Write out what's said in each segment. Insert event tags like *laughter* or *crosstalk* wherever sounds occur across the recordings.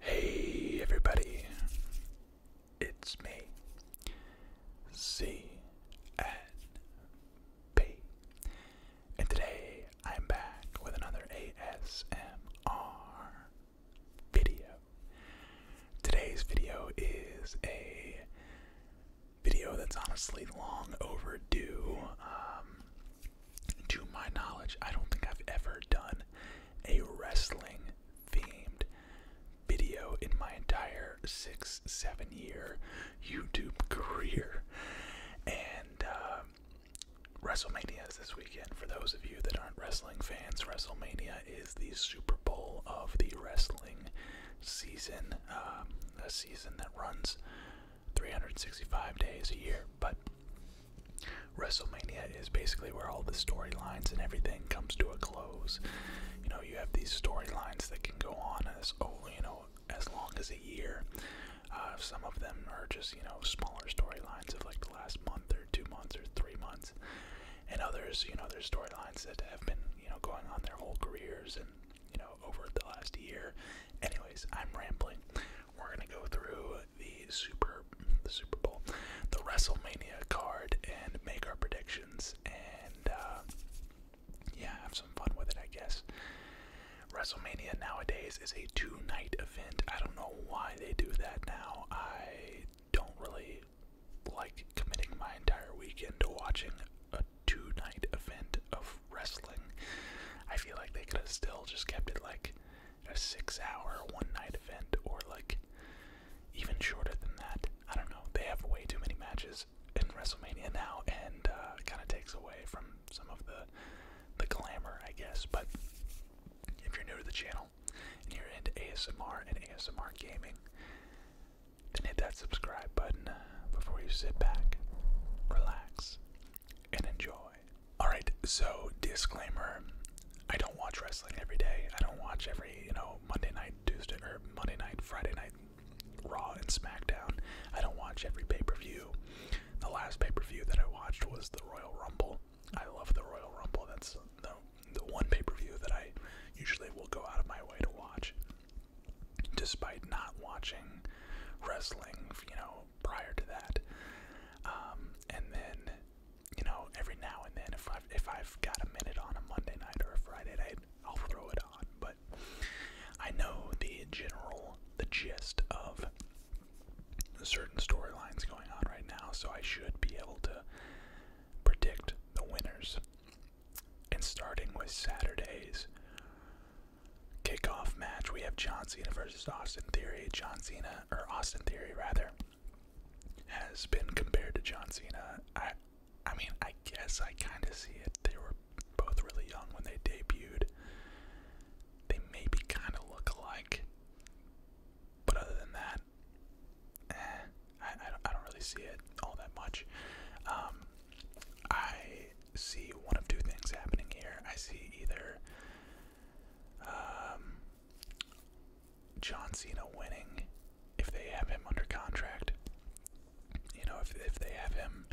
Hey everybody, it's me, CNP, and today I'm back with another ASMR video. Today's video is a video that's honestly long overdue. Um, to my knowledge, I don't think I've ever done a wrestling themed video in my entire six, seven year YouTube *laughs* career. And um, WrestleMania is this weekend. For those of you that aren't wrestling fans, WrestleMania is the Super Bowl of the wrestling season, um, a season that runs 365 days a year, but WrestleMania is basically where all the storylines and everything comes to a close. You know, you have these storylines that can go on as oh, you know, as long as a year. Uh, some of them are just you know smaller storylines of like the last month or two months or three months, and others you know there's storylines that have been you know going on their whole careers and you know over the last year. Anyways, I'm rambling. We're gonna go through the Super the Super Bowl, the WrestleMania card, and make our predictions and uh, yeah, have some fun with it, I guess. WrestleMania nowadays is a two-night event. I don't know why they do that now. I don't really like committing my entire weekend to watching a two-night event of wrestling. I feel like they could have still just kept it like a six-hour one-night event, or like even shorter than that. I don't know. They have way too many matches in WrestleMania now, and uh, kind of takes away from some of the the glamour, I guess. But if you're new to the channel and you're into ASMR and ASMR gaming, then hit that subscribe button uh, before you sit back, relax, and enjoy. Alright, so disclaimer I don't watch wrestling every day. I don't watch every, you know, Monday night, Tuesday, or Monday night, Friday night, Raw and SmackDown. I don't watch every pay per view. The last pay per view that I watched was the Royal Rumble. I love the Royal Rumble. That's the, the one pay per view that I usually will go out of my way to watch. Despite not watching wrestling, you know, prior to that. Um, and then, you know, every now and then, if i if I've got a minute on a Monday night or a Friday night, I'll throw it on. But I know the general, the gist of certain storylines going on right now, so I should be able to predict the winners. And starting with Saturdays, kickoff match, we have John Cena versus Austin Theory. John Cena, or Austin Theory rather, has been compared to John Cena. I, I mean, I guess I kind of see it. They were both really young when they debuted. They maybe kind of look alike, but other than that, eh, I, don't, really see it all that much. Um, I see one of two things happening here. I see either um, John Cena winning if they have him under contract. You know, if if they have him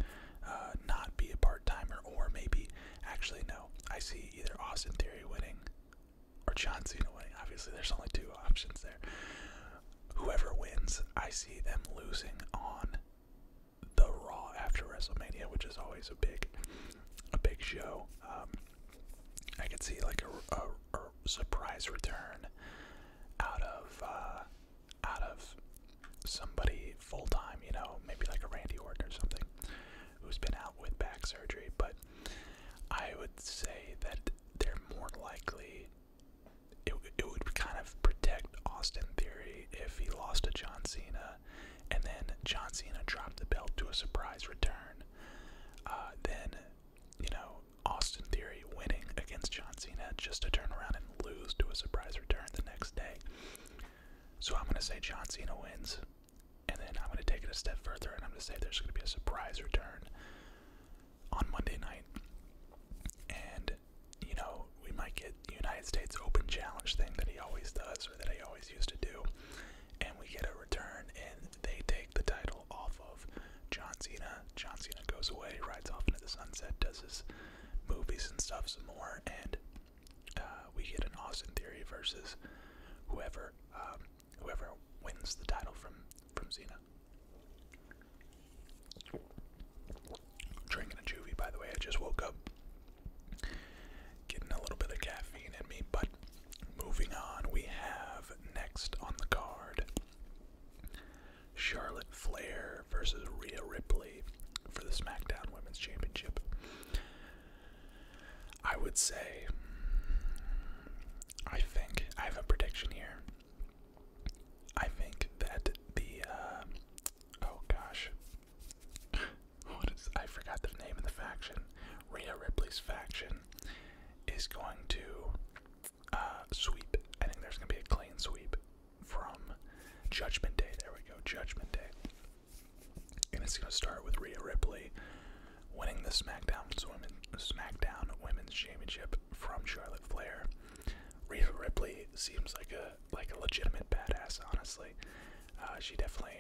uh, not be a part timer, or maybe actually no, I see either Austin Theory winning or John Cena winning. Obviously, there's only two options there. Whoever wins, I see them losing on the Raw after WrestleMania, which is always a big, a big show. Um, I could see like a, surprise return out of uh, out of somebody full time, you know, maybe like a Randy Orton or something, who's been out with back surgery. But I would say that they're more likely. It, it would kind of protect Austin Theory if he lost to John Cena and then John Cena dropped the belt to a surprise return. Uh, then, you know, Austin Theory winning against John Cena just to turn around and lose to a surprise return the next day. So I'm going to say John Cena wins, and then I'm going to take it a step further and I'm going to say there's going to be a surprise return on Monday night. And, you know, we might get United States Open Challenge thing that he always does, or that he always used to do, and we get a return, and they take the title off of John Cena. John Cena goes away, rides off into the sunset, does his movies and stuff some more, and uh, we get an Austin Theory versus whoever um, whoever wins the title from from Cena. Drinking a juvie, by the way. I just woke up getting a little bit of caffeine in me, but moving on, we have next on the card Charlotte Flair versus Rhea Ripley for the SmackDown Women's Championship. I would say, I think, I have a prediction here. I think that the, uh, oh gosh. I forgot the name of the faction. Rhea Ripley's faction is going to uh, sweep. I think there's gonna be a clean sweep from Judgment Day. There we go, Judgment Day. And it's gonna start with Rhea Ripley winning the SmackDown Women's Championship from Charlotte Flair. Rhea Ripley seems like a like a legitimate badass. Honestly, uh, she definitely.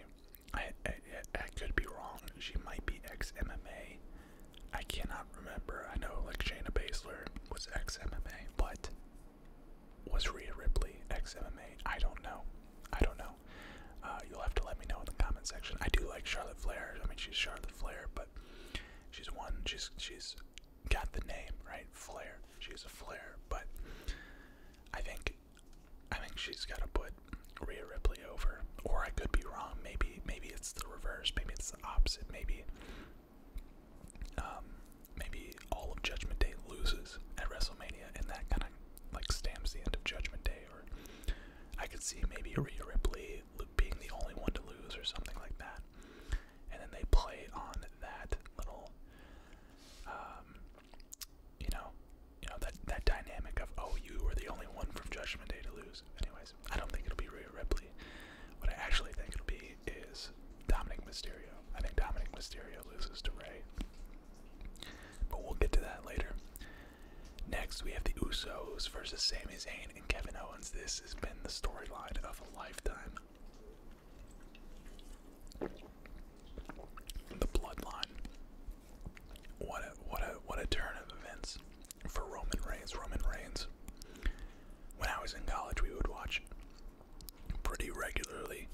I, I could be wrong. She might be ex MMA. I cannot remember. I know like Shayna Baszler was ex MMA, but was Rhea Ripley ex MMA? I don't know. I don't know. Uh, you'll have to let me know in the comment section. I do like Charlotte Flair. I mean, she's Charlotte Flair, but she's one. She's she's got the name right, Flair. She's a flair, but I think I think she's got to put Rhea Ripley over. Or I could be wrong. Maybe maybe it's the reverse. Maybe it's the opposite. Maybe um, maybe all of Judgment Day loses at WrestleMania, and that kind of like stamps the end of Judgment Day. Or I could see maybe Rhea Ripley being the only one to lose, or something like that. And then they play on that little um, you know, you know that that dynamic of oh you were the only one from Judgment Day to lose. Anyways, I don't think it'll be Rhea Ripley. What I actually think it'll be is Dominic Mysterio. I think Dominic Mysterio loses to Ray. But we'll get to that later. Next, we have the Usos versus Sami Zayn and Kevin Owens. This has been the storyline of a lifetime. The bloodline. What a what a what a turn of events for Roman Reigns. Roman Reigns. When I was in college, we would watch pretty regularly.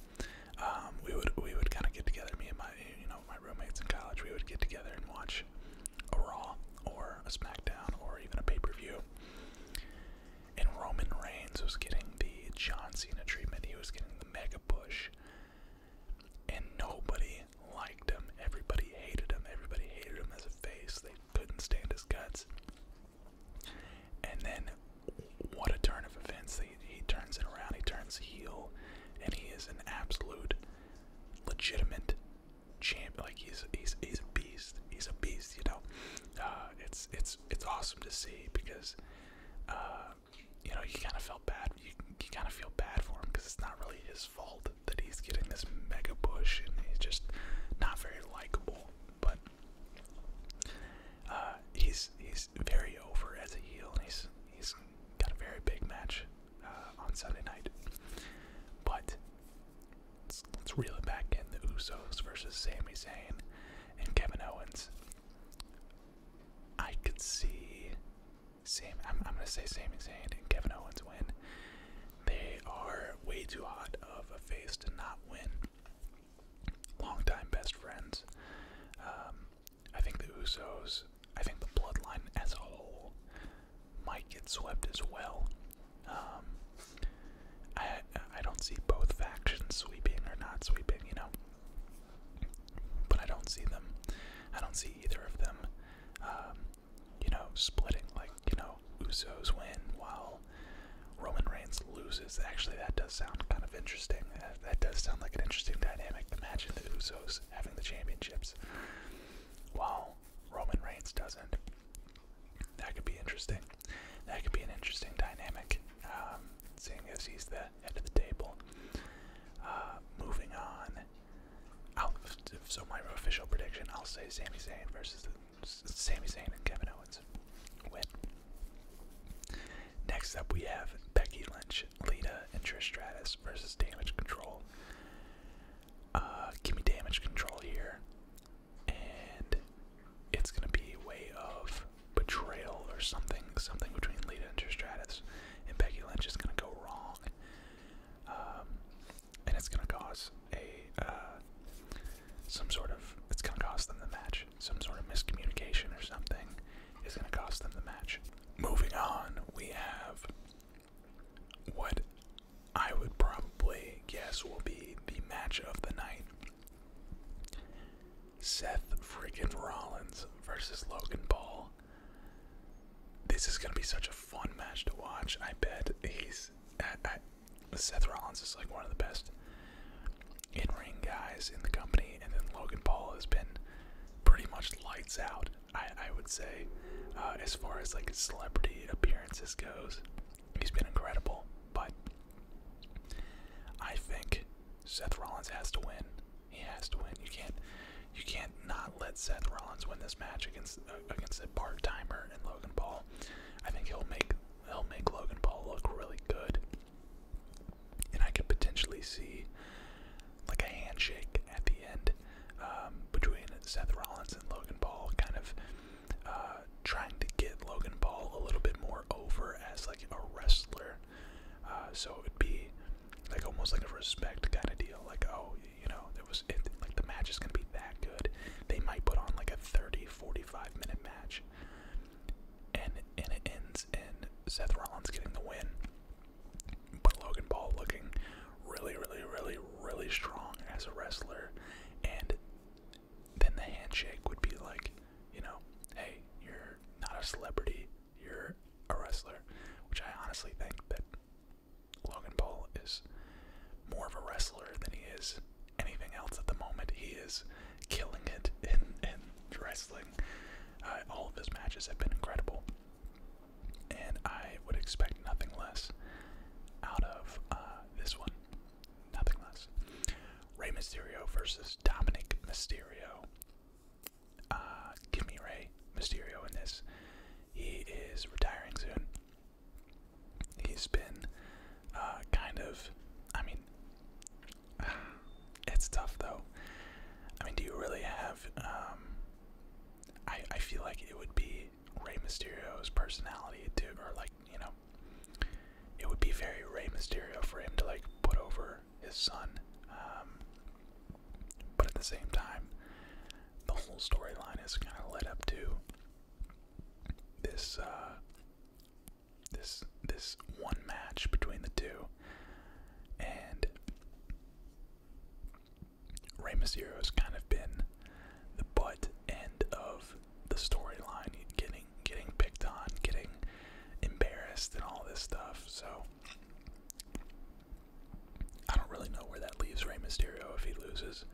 Um, we would we would kind of get together, me and my you know my roommates in college. We would get together and watch a Raw or a SmackDown or even a pay per view. And Roman Reigns was getting the John Cena treatment. He was getting the mega Bush, And nobody liked him. Everybody hated him. Everybody hated him as a face. They couldn't stand his guts. And then, what a turn of events. He, he turns it around. He turns heel. And he is an absolute, legitimate champ. Like, he's, he's, he's a beast. He's a beast, you know. Uh, it's, it's, it's awesome to see because uh, you know, you kind of felt bad. You, kind of feel bad for him because it's not really his fault that he's getting this mega push and he's just not very likable. But uh, he's he's very over as a heel. And he's he's got a very big match uh, on Sunday night. But let's reel it back in. The Usos versus Sami Zayn and Kevin Owens. I could see same. I'm, gonna say Sami Zayn and Kevin Owens win. They are way too hot of a face to not win. Longtime best friends. Um, I think the Usos. I think the Bloodline as a whole might get swept as well. Um, I I don't see both factions sweeping or not sweeping, you know. But I don't see them. I don't see either of them, um, you know, splitting like you know Usos win while Roman Reigns loses. Actually, that does sound kind of interesting. That, uh, that does sound like an interesting dynamic. Imagine the Usos having the championships while Roman Reigns doesn't. That could be interesting. That could be an interesting dynamic, um, seeing as he's the head of the table. Uh, moving on, so my official prediction, I'll say Sami Zayn versus Sami Zayn and Kevin Owens win. Next up, we have Becky Lynch, Lita, and Trish Stratus versus Damage Control. Uh, give me Damage Control here and it's gonna be way of betrayal or something, something between Lita and Tristratus, and Becky Lynch is gonna go wrong, um, and it's gonna cause a uh, some sort of it's gonna cost them the match. Some sort of miscommunication or something is gonna cost them the match. Moving on, we have what I would probably guess will be the match of the night. Seth freaking Rollins versus Logan Paul. This is gonna be such a fun match to watch. I bet he's. Seth Rollins is like one of the best in ring guys in the company, and then Logan Paul has been pretty much lights out, I, I would say, uh, as far as like celebrity appearances goes. He's been incredible, but I think Seth Rollins has to win. He has to win. You can't, you can't not let Seth Rollins win this match against against a part timer and Logan Paul. I think he'll make he'll make Logan Paul look really good, and I could potentially see like a handshake at the end um, between Seth Rollins and Logan Paul, kind of uh, trying to get Logan Paul a little bit more over as like a wrestler. Uh, so it'd be like almost like a respect kind of deal. Like, oh, you know, it was like the match is gonna be that good. They might put on like a 30, 45 minute match, and and it ends in Seth Rollins getting the win. But Logan Paul looking really, really, really, really strong as a wrestler, and then the handshake would be like, you know, hey, you're not a celebrity, you're a wrestler, which I honestly think that Logan Paul is more of a wrestler than he is anything else at the moment. He is killing it *laughs* in, in wrestling. Uh, all of his matches have been incredible. And I would expect nothing less out of uh, this one nothing less. Rey Mysterio versus Dominic Mysterio. Uh, give me Rey Mysterio in this. He is retiring soon. He's been uh, kind of, I mean, *sighs* it's tough though. I mean, do you really have? Um, I I feel like it would be Rey Mysterio's personality to, or like you know, it would be very Rey Mysterio for him to like put over his son. Um, but at the same time, the whole storyline is kind of led up to this uh, this this one match between the two, and Rey Mysterio has kind of been the butt end of the storyline, getting getting picked on, getting embarrassed, and all this stuff. So I don't really know where that leaves Rey Mysterio if he loses.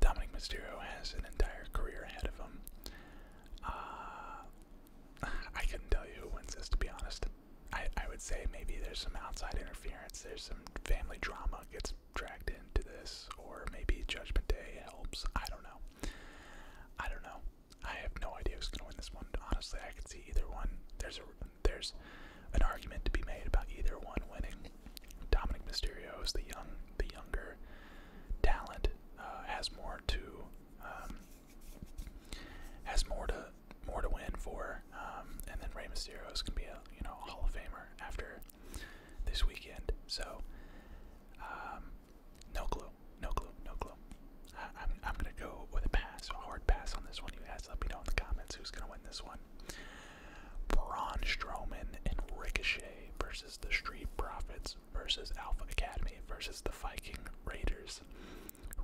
Dominic Mysterio has an entire career ahead of him. Uh, *sighs* I couldn't tell you who wins this, to be honest. I, I would say maybe there's some outside interference, there's some family drama gets dragged into this, or maybe Judgment Day helps. I don't know. I don't know. I have no idea who's gonna win this one. Honestly, I can see either one. There's a there's an argument to be made about either one winning. Dominic Mysterio is the young, the younger talent. Uh, has more to um, has more to more to win for, um, and then Rey Mysterio is gonna be a you know Hall of Famer after this weekend. So um, no clue. No clue. No clue. I, am I'm going to go with a pass, a hard pass on this one. You guys let me know in the comments who's going to win this one. Braun Strowman and Ricochet versus the Street Profits versus Alpha Academy versus the Viking Raiders.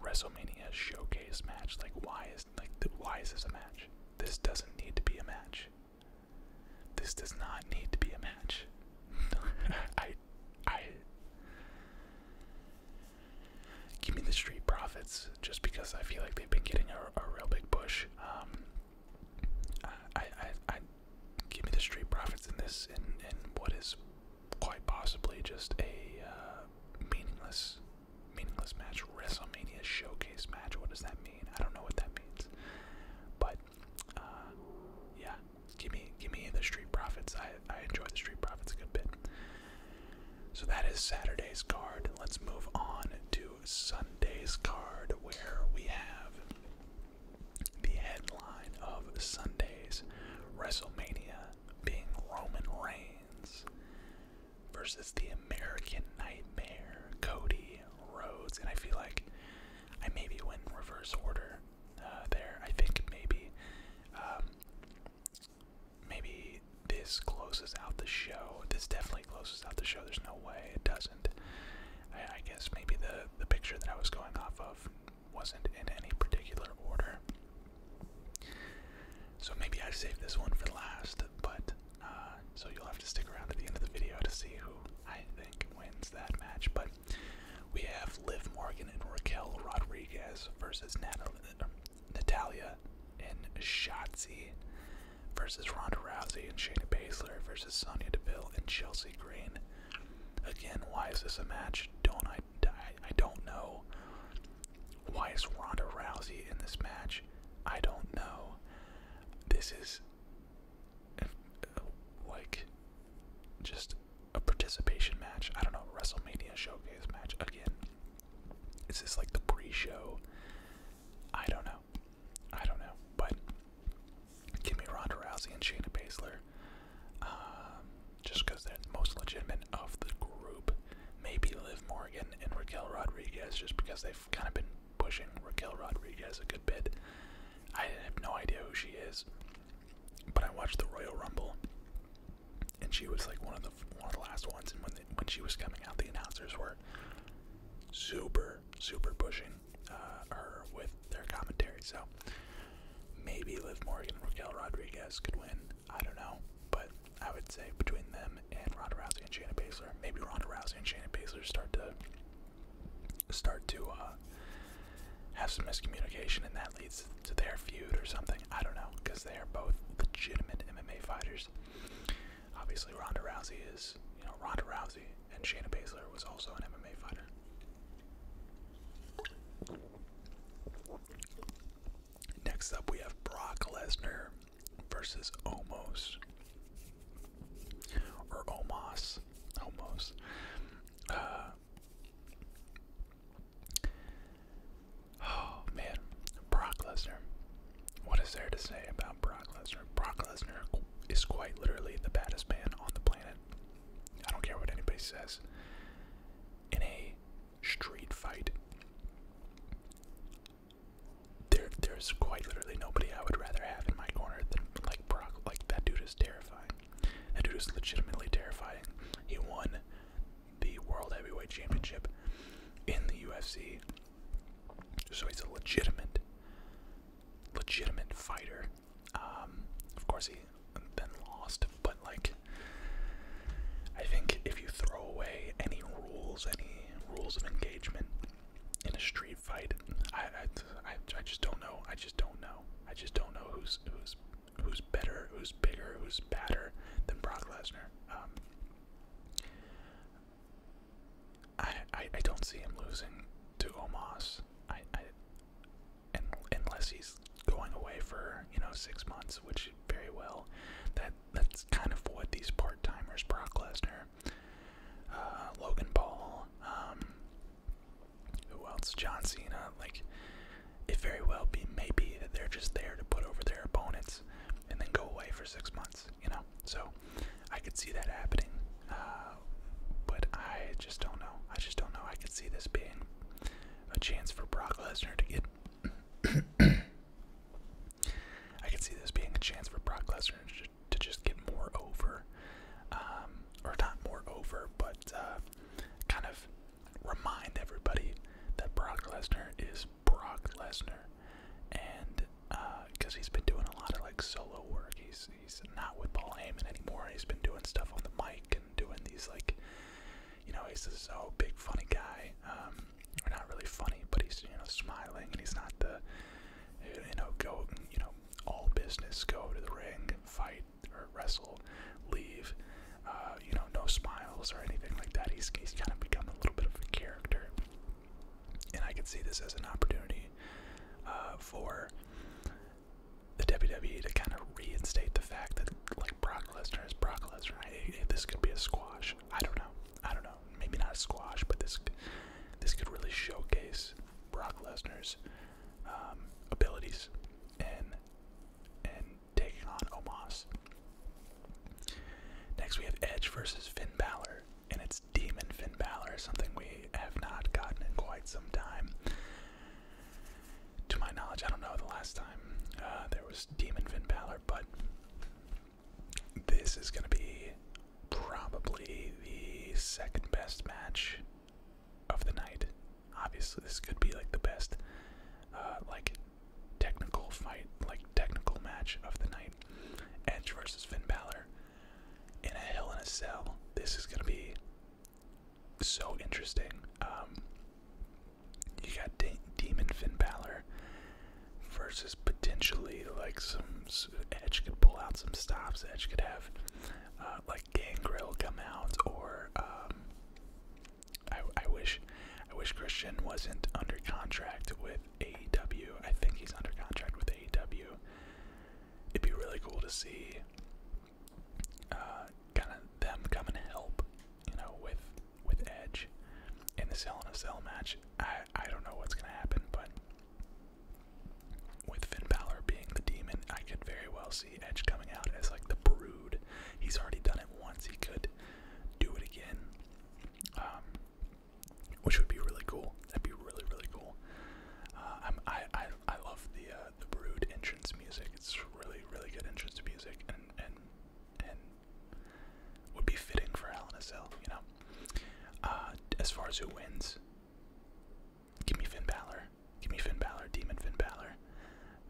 WrestleMania showcase match. Like, why is like why is this a match? This doesn't need to be a match. This does not need to be a match. *laughs* I I give me the street profits just because I feel like they've been getting a, a real big push. Um, I, I I give me the street profits in this in in what is quite possibly just a uh, meaningless meaningless match WrestleMania showcase match. What does that mean? I don't know what that means, but uh, yeah, give me give me the Street Profits. I I enjoy the Street Profits a good bit. So that is Saturday's card. Let's move on to Sunday's card, where we have the headline of Sunday's WrestleMania being Roman Reigns versus the American Nightmare, Cody Rhodes. And I feel like I maybe went reverse order uh, there. I think maybe um, maybe this closes out the show. This definitely closes out the show. There's no way it doesn't. I, guess maybe the the picture that I was going off of wasn't in any particular order. So maybe I saved this one for last, but uh, so you'll have to stick around to the end of the video to see who I think wins that match. But we have Liv Morgan and Raquel Rodriguez versus uh, Natalia and Shotzi versus Ronda Rousey and Shayna Baszler versus Sonya Deville and Chelsea Green. Again, why is this a match? Don't I, I don't know. Why is Ronda Rousey in this match? I don't know. This is like just a participation match. I don't know, WrestleMania showcase match again. Is this like the pre-show? I don't know. I don't know. But give me Ronda Rousey and Shayna Baszler. Um, just because they're the most legitimate of the group. Maybe Liv Morgan and Raquel Rodriguez, just because they've kind of been pushing Raquel Rodriguez a good bit. I have no idea who she is, but I watched the Royal Rumble, and she was like one of the one of the last ones. And when when she was coming out, the announcers were super super pushing uh, her with their commentary. So maybe Liv Morgan and Raquel Rodriguez could win. I don't know, but I would say between them and Ronda Rousey and Shannon Baszler, maybe Ronda Rousey and Shannon Baszler start to start to uh, have some miscommunication, and that leads to their feud or something. I don't know, because they are both legitimate MMA fighters. Obviously, Ronda Rousey is, you know, Ronda Rousey, and Shayna Baszler was also an MMA fighter. Next up, we have Brock Lesnar versus Omos or Omos, Homos. Uh, oh man, Brock Lesnar. What is there to say about Brock Lesnar? Brock Lesnar is quite literally the baddest man on the planet. I don't care what anybody says. In a street fight, there there's quite literally nobody I would rather have in my corner than like Brock. Like that dude is terrifying. That dude is legitimately terrifying. He won the World Heavyweight Championship in the UFC. So he's a legitimate legitimate fighter. Um, of course he then lost, but like I think if you throw away any rules, any rules of engagement in a street fight. I, I, I just don't know. I just don't know. I just don't know who's who's who's better, who's bigger, who's badder than Brock Lesnar. Um, I, I I don't see him losing to Omos. I, I and unless he's going away for you know six months, which very well that that's kind of what these part timers Brock Lesnar uh, Logan Paul, um, who else? John Cena. Like, it very well be maybe that they're just there to put over their opponents and then go away for six months, you know? So I could see that happening, uh, but I just don't know. I just don't know. I could see this being a chance for Brock Lesnar to get. *coughs* I could see this being a chance for Brock Lesnar to just get more over, um, or not more over, but uh, kind of remind everybody that Brock Lesnar is Brock Lesnar, and because uh, he's been doing a lot of like solo work, he's he's not with Paul Heyman anymore. He's been doing stuff on the mic and doing these like, you know, he's this oh big funny guy. Um, or not really funny, but he's you know smiling and he's not the you know, go, you know, all business, go to the ring, fight or wrestle, leave, uh, you know, no smiles or anything like that. He's, he's kind of become a little bit of a character. And I could see this as an opportunity uh, for the WWE to kind of reinstate the fact that, like, Brock Lesnar is Brock Lesnar. I, this could be a squash. I don't know. I don't know. Maybe not a squash, but this this could really showcase Brock Lesnar's um, abilities and and taking on Omos. Next, we have Edge versus Finn Balor, and it's Demon Finn Balor, something we have not gotten in quite some time. To my knowledge, I don't know the last time uh, there was Demon Finn Balor, but this is going to be probably the second best match of the night. Obviously, this could be like the best, uh, like technical fight, like technical match of the night. Edge versus Finn Balor in a Hell in a Cell. This is going to be so interesting. Um, you got Demon Finn Balor versus potentially like some Edge could pull out some stops. Edge could have uh, like Gangrel come out, or um, I, I wish I wish Christian wasn't under contract with AEW. I think he's under contract with AEW. It'd be really cool to see uh, kind of them come and help, you know, with with Edge in the Cell and a Cell match. I I don't know what's gonna happen, but with Finn Balor being the demon, I could very well see Edge coming out as like the brood. He's already done it once, he could do it again. Um, which would be really cool. That'd be really, really cool. Uh, i I, I, love the uh, the Brood entrance music. It's really, really good entrance music, and and and would be fitting for Hell in a Cell, you know. Uh, as far as who wins, give me Finn Balor. Give me Finn Balor, Demon Finn Balor.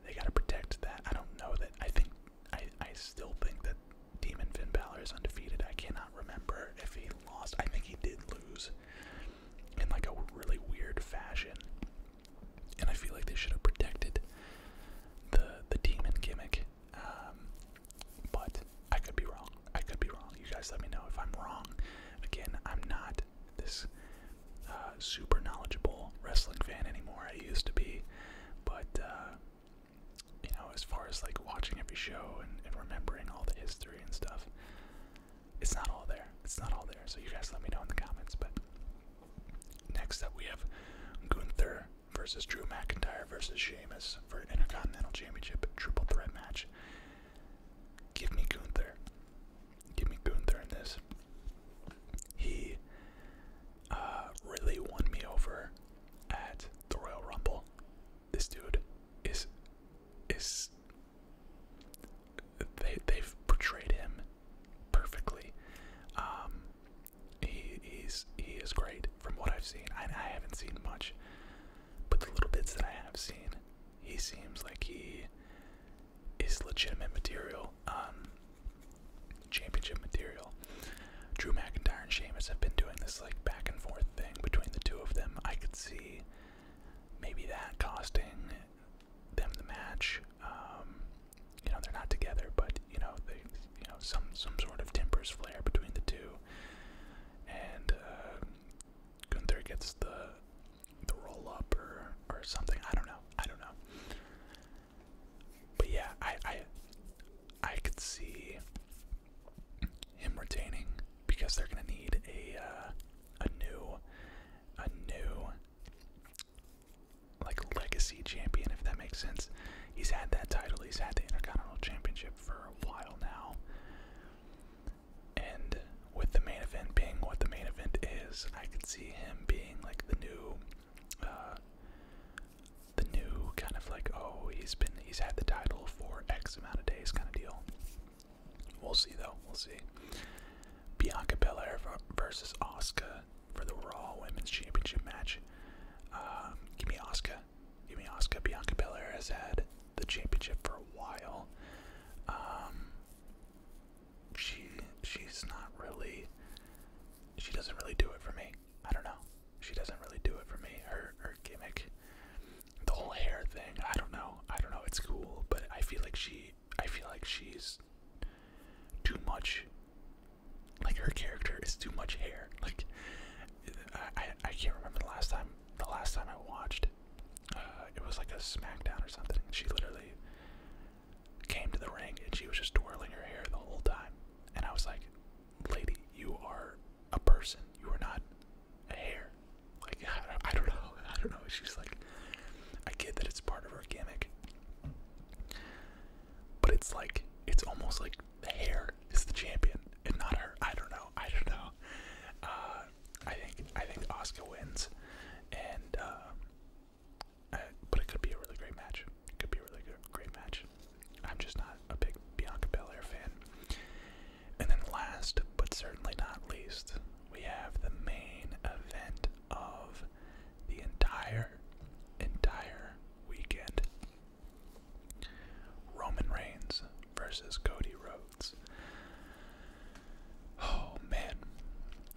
They gotta protect that. I don't know that. I think I I still think that Demon Finn Balor is undefeated. I cannot remember if he lost. I think he did lose in like a really weird fashion. And I feel like they should have protected the the demon gimmick um, but I could be wrong. I could be wrong. You guys let me know if I'm wrong. Again, I'm not this uh, super knowledgeable wrestling fan anymore. I used to be, but uh, you know, as far as like watching every show and, and remembering all the history and stuff, it's not all there. It's not all there. So you guys let me know in the comments. But next up, we have Gunther versus Drew McIntyre versus Sheamus for an Intercontinental Championship triple threat match. Give me Gunther. Give me Gunther in this. He uh, really won me over at the Royal Rumble. This dude is is they they've portrayed him perfectly. Um, he he is great from what I've seen. I, I haven't seen much. But the little bits that I have seen, he seems like he is legitimate material, um, championship material. Drew McIntyre and Sheamus have been doing this like back and forth thing between the two of them. I could see maybe that costing them the match. Um, you know they're not together, but you know they, you know some some sort of tempers flare between the two and uh, Gunther gets the the roll up or or something. I don't know. I don't know. But yeah, I I I could see him retaining because they're gonna need a uh, a new a new like legacy champion if that makes sense. He's had that title. He's had the Intercontinental Championship for a while now. And with the main event being what the main event is, I could see him being like the new, uh, the new kind of like oh he's been he's had the title for X amount of days kind of deal. We'll see though. We'll see. Bianca Belair versus Oscar for the Raw Women's Championship match. Um, give me Oscar you mean Oscar Bianca Belair has had the championship for a while. Um, she she's not really. She doesn't really do it for me. I don't know. She doesn't really do it for me. Her her gimmick, the whole hair thing. I don't know. I don't know. It's cool, but I feel like she. I feel like she's too much. Like her character is too much hair. Like I, I can't remember the last time the last time I watched. it. Uh, it was like a SmackDown or something. she literally came to the ring and she was just twirling her hair the whole time. And I was like, "Lady, you are a person. You are not a hair." Like I, I don't know. *laughs* I don't know. She's like, I get that it's part of her gimmick, but it's like it's almost like the Hair is the champion and not her. I don't know. I don't know. Uh, I think I think Oscar wins, and uh, I, uh, but it could be a really great match. It could be a really good, great match. I'm just not a big Bianca Belair fan. And then last but certainly not least, we have the main event of the entire entire weekend. Roman Reigns versus Cody Rhodes. Oh man,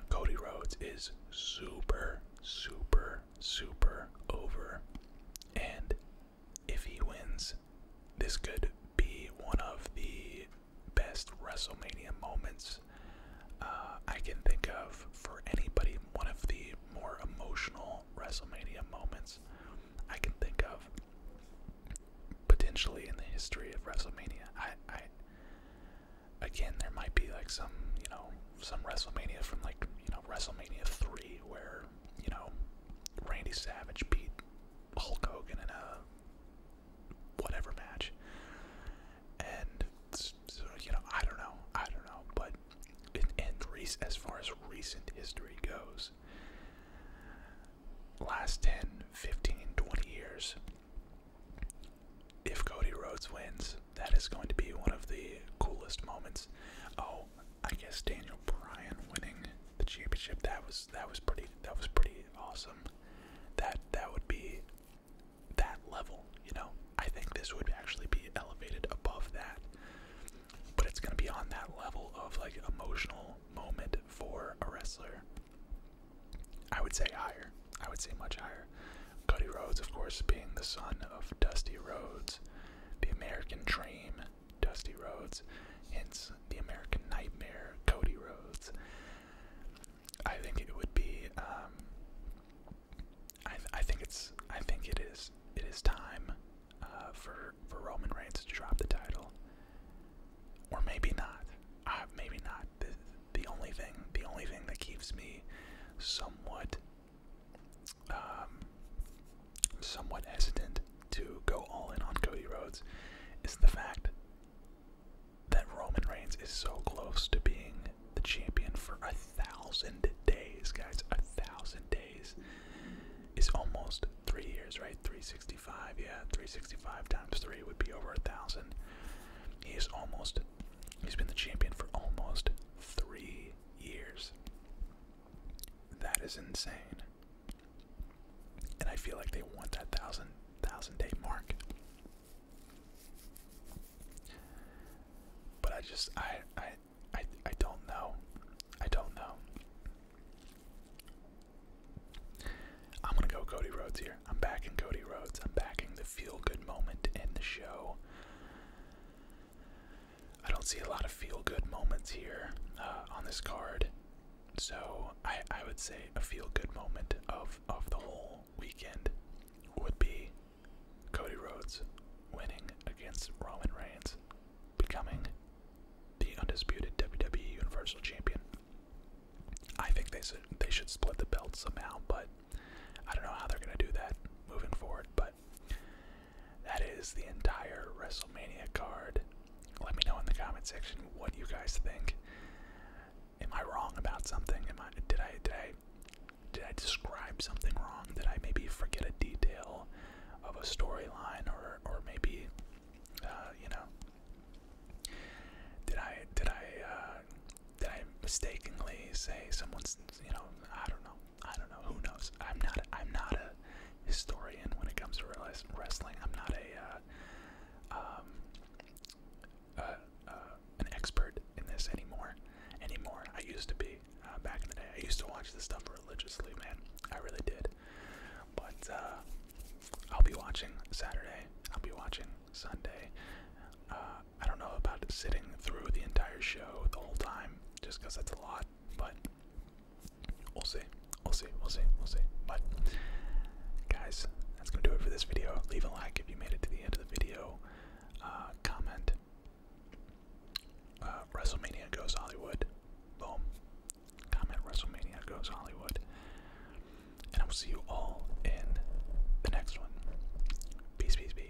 Cody Rhodes is super, super, super over. And if he wins, this could be one of the best WrestleMania moments uh, I can think of for anybody, one of the more emotional WrestleMania moments. I can think of potentially in the history of WrestleMania. I, again, there might be like some, you know, some WrestleMania from like, you know, WrestleMania 3 where, you know, Randy Savage beat Hulk Hogan in a whatever match. And you know, I don't know. I don't know, but and, and as far as recent history goes last 10 15 20 years if Cody Rhodes wins that is going to be one of the coolest moments oh I guess Daniel Bryan winning the championship that was that was pretty that was pretty awesome that that would be that level you know I think this would actually be elevated above that but it's gonna be on that level of like emotional moment for a wrestler. I would say higher. I would say much higher. Cody Rhodes, of course, being the son of Dusty Rhodes, the American dream, Dusty Rhodes, hence the American nightmare, Cody Rhodes. I think it would be. Um, I, I think it's. I think it is. It is time uh, for for Roman Reigns to drop the title, or maybe not. maybe not. The, the only thing, the only thing that keeps me somewhat, um, somewhat hesitant to go all in on Cody Rhodes is the fact that Roman Reigns is so close to being the champion for a thousand days, guys. A thousand days is almost three years, right? 365, yeah, 365 times three would be over a thousand. He is almost, he's been the champion for almost three years. That is insane. And I feel like they want that thousand, thousand day mark. But I just, I, I I I don't know. I don't know. I'm gonna go Cody Rhodes here. I'm backing Cody Rhodes. I'm backing the feel good moment in the show. I don't see a lot of feel good moments here uh, on this card, so I I would say a feel good moment of of the whole weekend would be Cody Rhodes winning against Roman Reigns becoming the undisputed WWE Universal Champion. I think they should they should split the belt somehow, but I don't know how they're gonna do that moving forward. But that is the entire WrestleMania card. Let me know in the comment section what you guys think. Am I wrong about something? Am I did I did I did I describe something wrong? That I maybe forget a detail? of a storyline or or maybe uh, you know did I did I uh, did I mistakenly say someone's you know I don't know I don't know who knows I'm not I'm not a historian when it comes to wrestling I'm not a uh, um, uh, uh, an expert in this anymore anymore I used to be uh, back in the day. I used to watch this stuff religiously, man. I really did. But uh, I'll be watching Saturday. I'll be watching Sunday. Uh, I don't know about sitting through the entire show the whole time, just because that's a lot. But we'll see. We'll see. We'll see. We'll see. But guys, that's gonna do it for this video. Leave a like if you made it to the end of the video. comment. Uh, WrestleMania goes Hollywood. Boom. Comment WrestleMania goes Hollywood. And I will see you all in the next one. Peace, peace, peace.